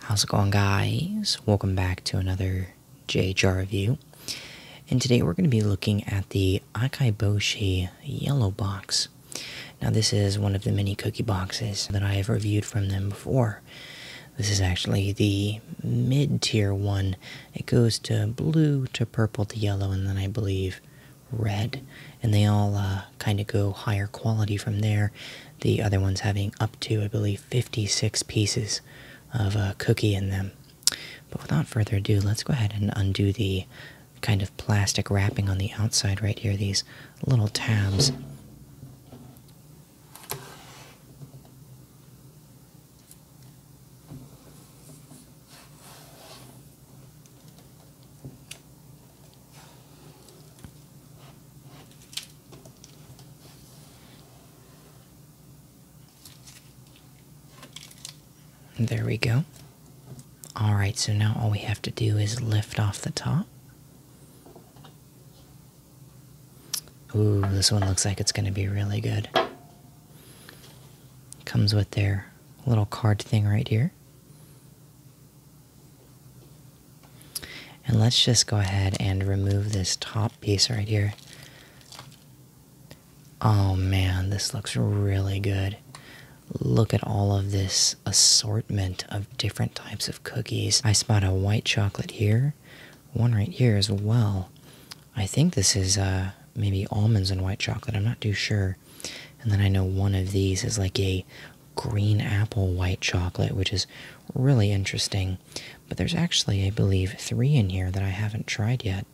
How's it going, guys? Welcome back to another JHR review. And today we're going to be looking at the Akai Boshi Yellow Box. Now, this is one of the many cookie boxes that I have reviewed from them before. This is actually the mid tier one. It goes to blue to purple to yellow, and then I believe red, and they all uh, kind of go higher quality from there. The other ones having up to, I believe, 56 pieces of uh, cookie in them. But without further ado, let's go ahead and undo the kind of plastic wrapping on the outside right here, these little tabs. There we go. All right, so now all we have to do is lift off the top. Ooh, this one looks like it's going to be really good. Comes with their little card thing right here. And let's just go ahead and remove this top piece right here. Oh man, this looks really good. Look at all of this assortment of different types of cookies. I spot a white chocolate here, one right here as well. I think this is uh, maybe almonds and white chocolate, I'm not too sure. And then I know one of these is like a green apple white chocolate, which is really interesting. But there's actually, I believe, three in here that I haven't tried yet.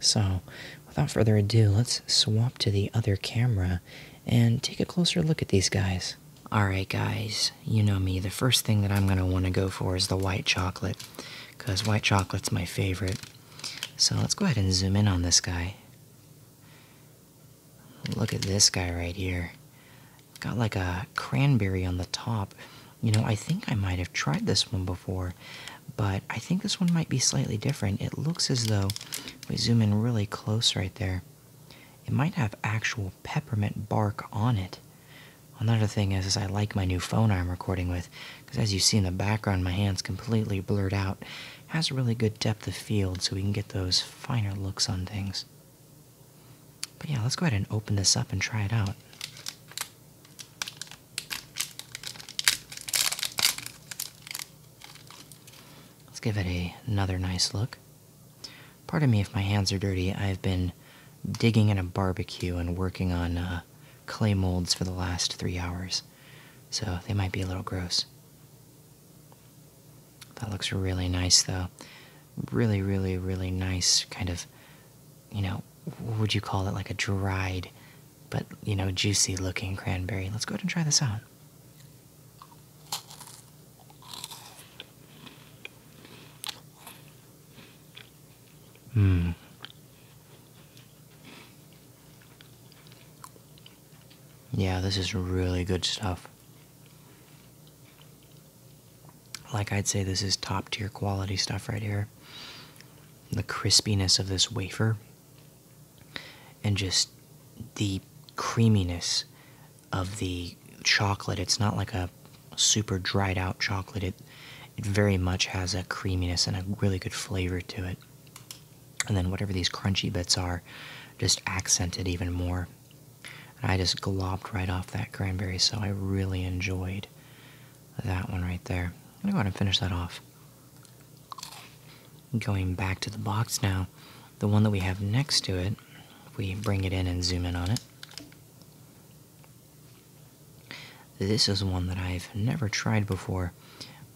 So, without further ado, let's swap to the other camera and take a closer look at these guys. Alright, guys, you know me. The first thing that I'm going to want to go for is the white chocolate, because white chocolate's my favorite. So, let's go ahead and zoom in on this guy. Look at this guy right here. got like a cranberry on the top. You know, I think I might have tried this one before, but I think this one might be slightly different. It looks as though, if we zoom in really close right there, it might have actual peppermint bark on it. Another thing is I like my new phone I'm recording with, because as you see in the background, my hand's completely blurred out has a really good depth of field so we can get those finer looks on things. But yeah, let's go ahead and open this up and try it out. Let's give it a, another nice look. Pardon me if my hands are dirty. I've been digging in a barbecue and working on uh, clay molds for the last three hours so they might be a little gross. That looks really nice, though. Really, really, really nice kind of, you know, would you call it? Like a dried, but, you know, juicy looking cranberry. Let's go ahead and try this out. Mmm. Yeah, this is really good stuff. Like I'd say, this is top tier quality stuff right here. The crispiness of this wafer and just the creaminess of the chocolate. It's not like a super dried out chocolate. It, very much has a creaminess and a really good flavor to it and then whatever these crunchy bits are just accented even more. I just glopped right off that cranberry, so I really enjoyed that one right there. I'm gonna go ahead and finish that off. Going back to the box now, the one that we have next to it, we bring it in and zoom in on it. This is one that I've never tried before,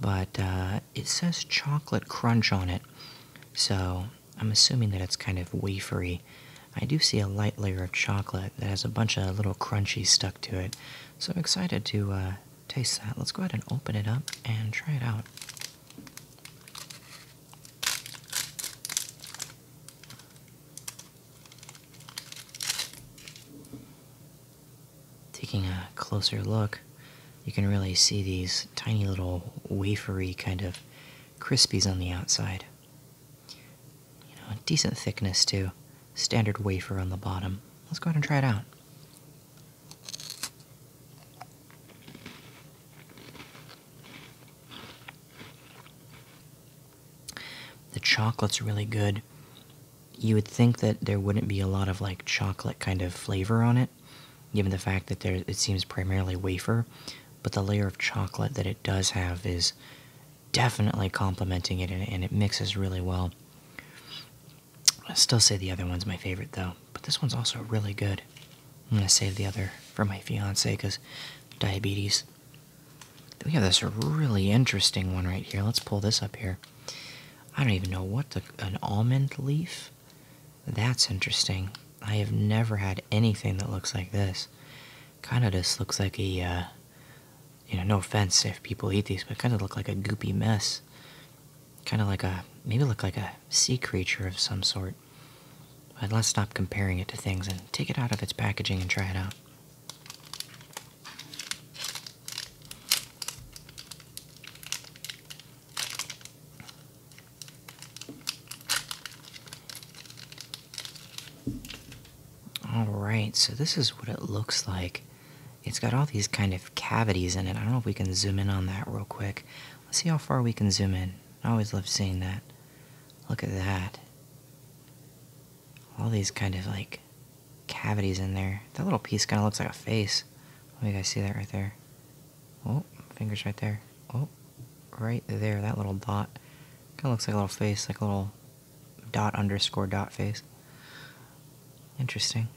but uh, it says chocolate crunch on it, so I'm assuming that it's kind of wafery. I do see a light layer of chocolate that has a bunch of little crunchies stuck to it, so I'm excited to uh, taste that. Let's go ahead and open it up and try it out. Taking a closer look, you can really see these tiny little wafery kind of crispies on the outside. You know, decent thickness too. Standard wafer on the bottom. Let's go ahead and try it out. The chocolate's really good you would think that there wouldn't be a lot of like chocolate kind of flavor on it, given the fact that there it seems primarily wafer, but the layer of chocolate that it does have is definitely complementing it and, it mixes really well. I still say the other one's my favorite though, but this one's also really good. I'm gonna save the other for my fiance because diabetes. we have this really interesting one right here. Let's pull this up here. I don't even know what an almond leaf. That's interesting. I have never had anything that looks like this. Kind of just looks like a, uh, you know, no offense if people eat these, but kind of look like a goopy mess. Kind of like a, maybe look like a sea creature of some sort. But let's stop comparing it to things and take it out of its packaging and try it out. Alright, so this is what it looks like. It's got all these kind of cavities in it. I don't know if we can zoom in on that real quick. Let's see how far we can zoom in. I always love seeing that. Look at that. All these kind of like cavities in there. That little piece kind of looks like a face. Oh, you guys see that right there? Oh, fingers right there. Oh, right there, that little dot. Kind of looks like a little face, like a little dot underscore dot face. Interesting.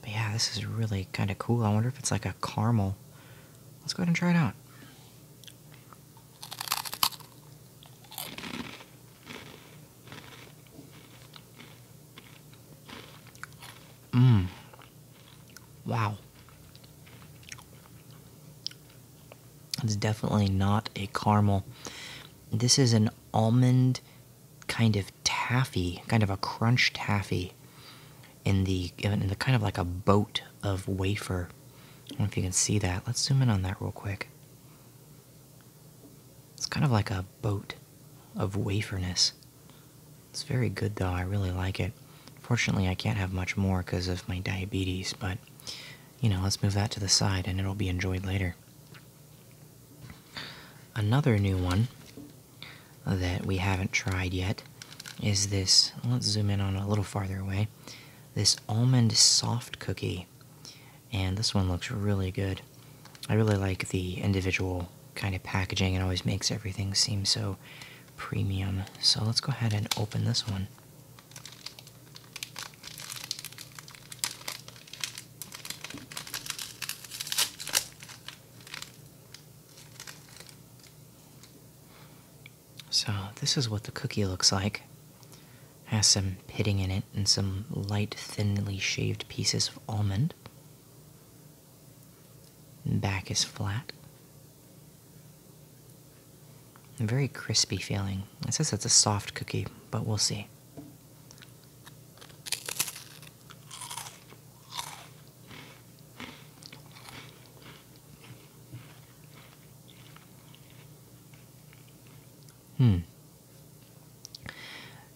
But yeah, this is really kind of cool. I wonder if it's like a caramel. Let's go ahead and try it out. Mmm. Wow. It's definitely not a caramel. This is an almond kind of taffy, kind of a crunch taffy in the in the kind of like a boat of wafer. I don't know if you can see that. Let's zoom in on that real quick. It's kind of like a boat of waferness. It's very good though, I really like it. Fortunately, I can't have much more because of my diabetes, but you know, let's move that to the side and it'll be enjoyed later. Another new one that we haven't tried yet is this. Let's zoom in on a little farther away. This almond soft cookie. And this one looks really good. I really like the individual kind of packaging, it always makes everything seem so premium. So let's go ahead and open this one. So this is what the cookie looks like. Has some pitting in it and some light, thinly shaved pieces of almond. Back is flat. Very crispy feeling. It says it's a soft cookie, but we'll see. Hmm.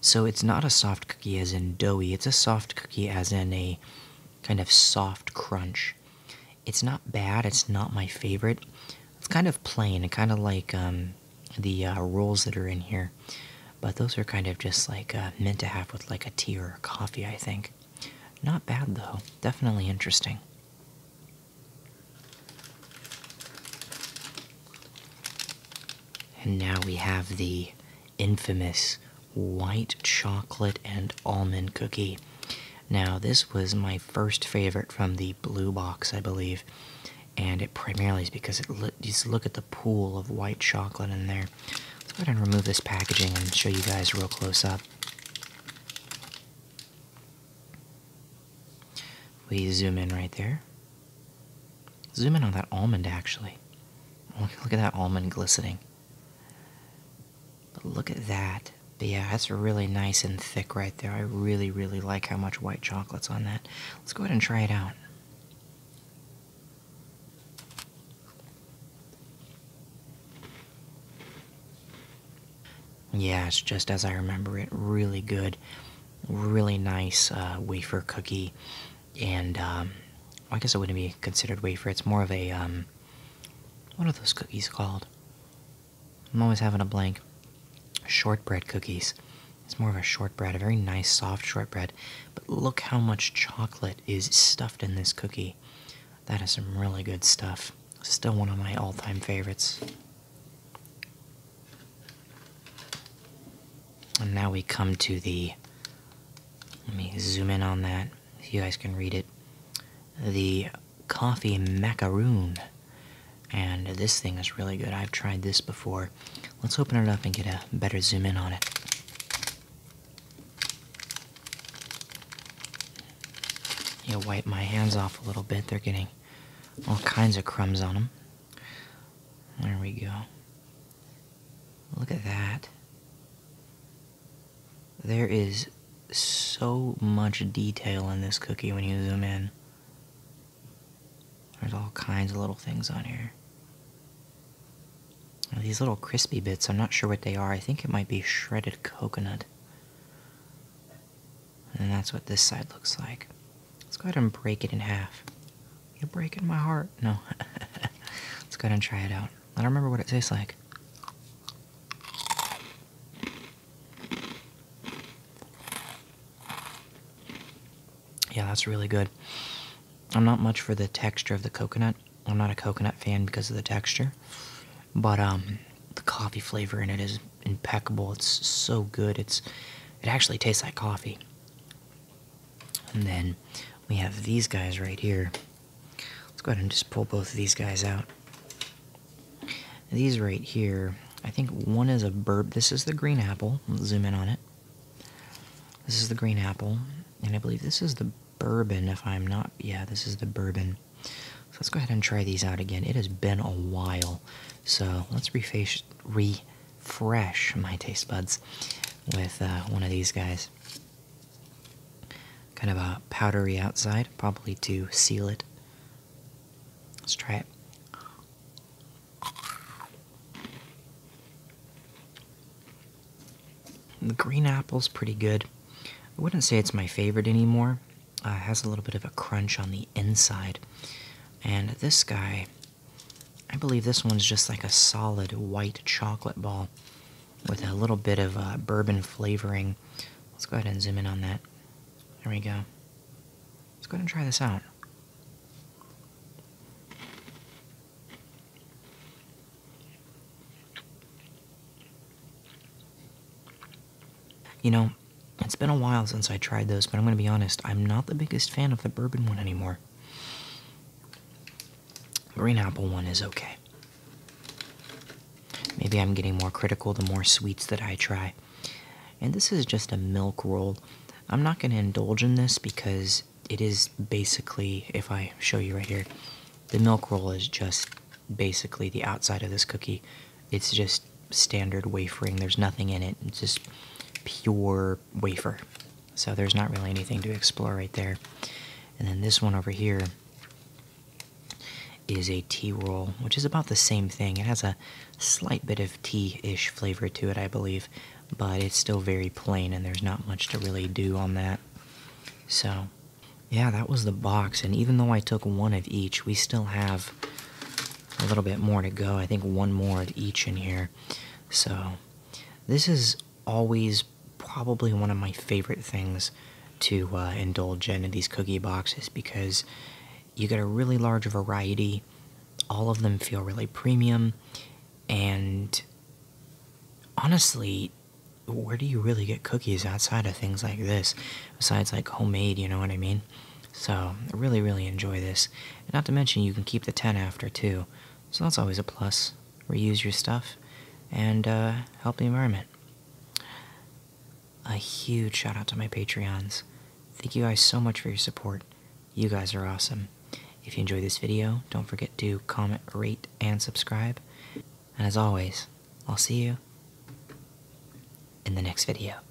So it's not a soft cookie as in doughy, it's a soft cookie as in a kind of soft crunch. It's not bad, it's not my favorite. It's kind of plain and kind of like um, the uh, rolls that are in here. But those are kind of just like uh, meant to have with like a tea or a coffee, I think. Not bad though, definitely interesting. And now we have the infamous white chocolate and almond cookie. Now, this was my first favorite from the blue box, I believe. And it primarily is because it you just look at the pool of white chocolate in there. go ahead and remove this packaging and show you guys real close up. We zoom in right there. Zoom in on that almond, actually. Look, at that almond glistening. But look at that. yeah, that's really nice and thick right there. I really, really like how much white chocolate's on that. Let's go ahead and try it out. Yes, just as I remember it. Really good really nice uh, wafer cookie, and um, I guess it wouldn't be considered wafer. It's more of a um, what are those cookies called? I'm always having a blank. Shortbread cookies. It's more of a shortbread, a very nice soft shortbread. But look how much chocolate is stuffed in this cookie. That is some really good stuff. Still one of my all-time favorites. And now we come to the. Let me zoom in on that so you guys can read it. The coffee macaroon. And this thing is really good. I've tried this before. Let's open it up and get a better zoom in on it. You wipe my hands off a little bit. They're getting all kinds of crumbs on them. There we go. Look at that. There is so much detail in this cookie when you zoom in. There's all kinds of little things on here. These little crispy bits, I'm not sure what they are. I think it might be shredded coconut. And that's what this side looks like. Let's go ahead and break it in half. You're breaking my heart. No. Let's go ahead and try it out. I don't remember what it tastes like. Yeah, that's really good. I'm not much for the texture of the coconut. I'm not a coconut fan because of the texture. But um, the coffee flavor in it is impeccable. It's so good. It's it actually tastes like coffee. And then we have these guys right here. Let's go ahead and just pull both of these guys out. These right here, I think one is a burb. This is the green apple. zoom in on it. This is the green apple, and I believe this is the bourbon. If I'm not, yeah, this is the bourbon. So let's go ahead and try these out again. It has been a while, so let's reface, reface fresh my taste buds with uh, one of these guys. Kind of a powdery outside, probably to seal it. Let's try it. The green apple's pretty good. I wouldn't say it's my favorite anymore. Uh, has a little bit of a crunch on the inside. And this guy, I believe this one's just like a solid white chocolate ball with a little bit of uh, bourbon flavoring. Let's go ahead and zoom in on that. There we go. Let's go ahead and try this out. You know, it's been a while since I tried those, but I'm going to be honest, I'm not the biggest fan of the bourbon one anymore. Green apple one is okay. Maybe I'm getting more critical the more sweets that I try. And this is just a milk roll. I'm not going to indulge in this because it is basically, if I show you right here, the milk roll is just basically the outside of this cookie it's just standard wafering. There's nothing in it. It's just pure wafer. So there's not really anything to explore right there. And then this one over here is a tea roll, which is about the same thing. It has a slight bit of tea-ish flavor to it, I believe, but it's still very plain and there's not much to really do on that. So, yeah, that was the box. And even though I took one of each, we still have a little bit more to go. I think one more each in here. So, this is always probably one of my favorite things to uh, indulge in in these cookie boxes because you get a really large variety. All of them feel really premium. And honestly, where do you really get cookies outside of things like this? Besides, like homemade, you know what I mean? So, I really, really enjoy this. And not to mention, you can keep the 10 after too. So, that's always a plus. Reuse your stuff and uh, help the environment. A huge shout out to my Patreons. Thank you guys so much for your support. You guys are awesome. If you enjoyed this video, don't forget to comment, rate, and subscribe. And as always, I'll see you in the next video.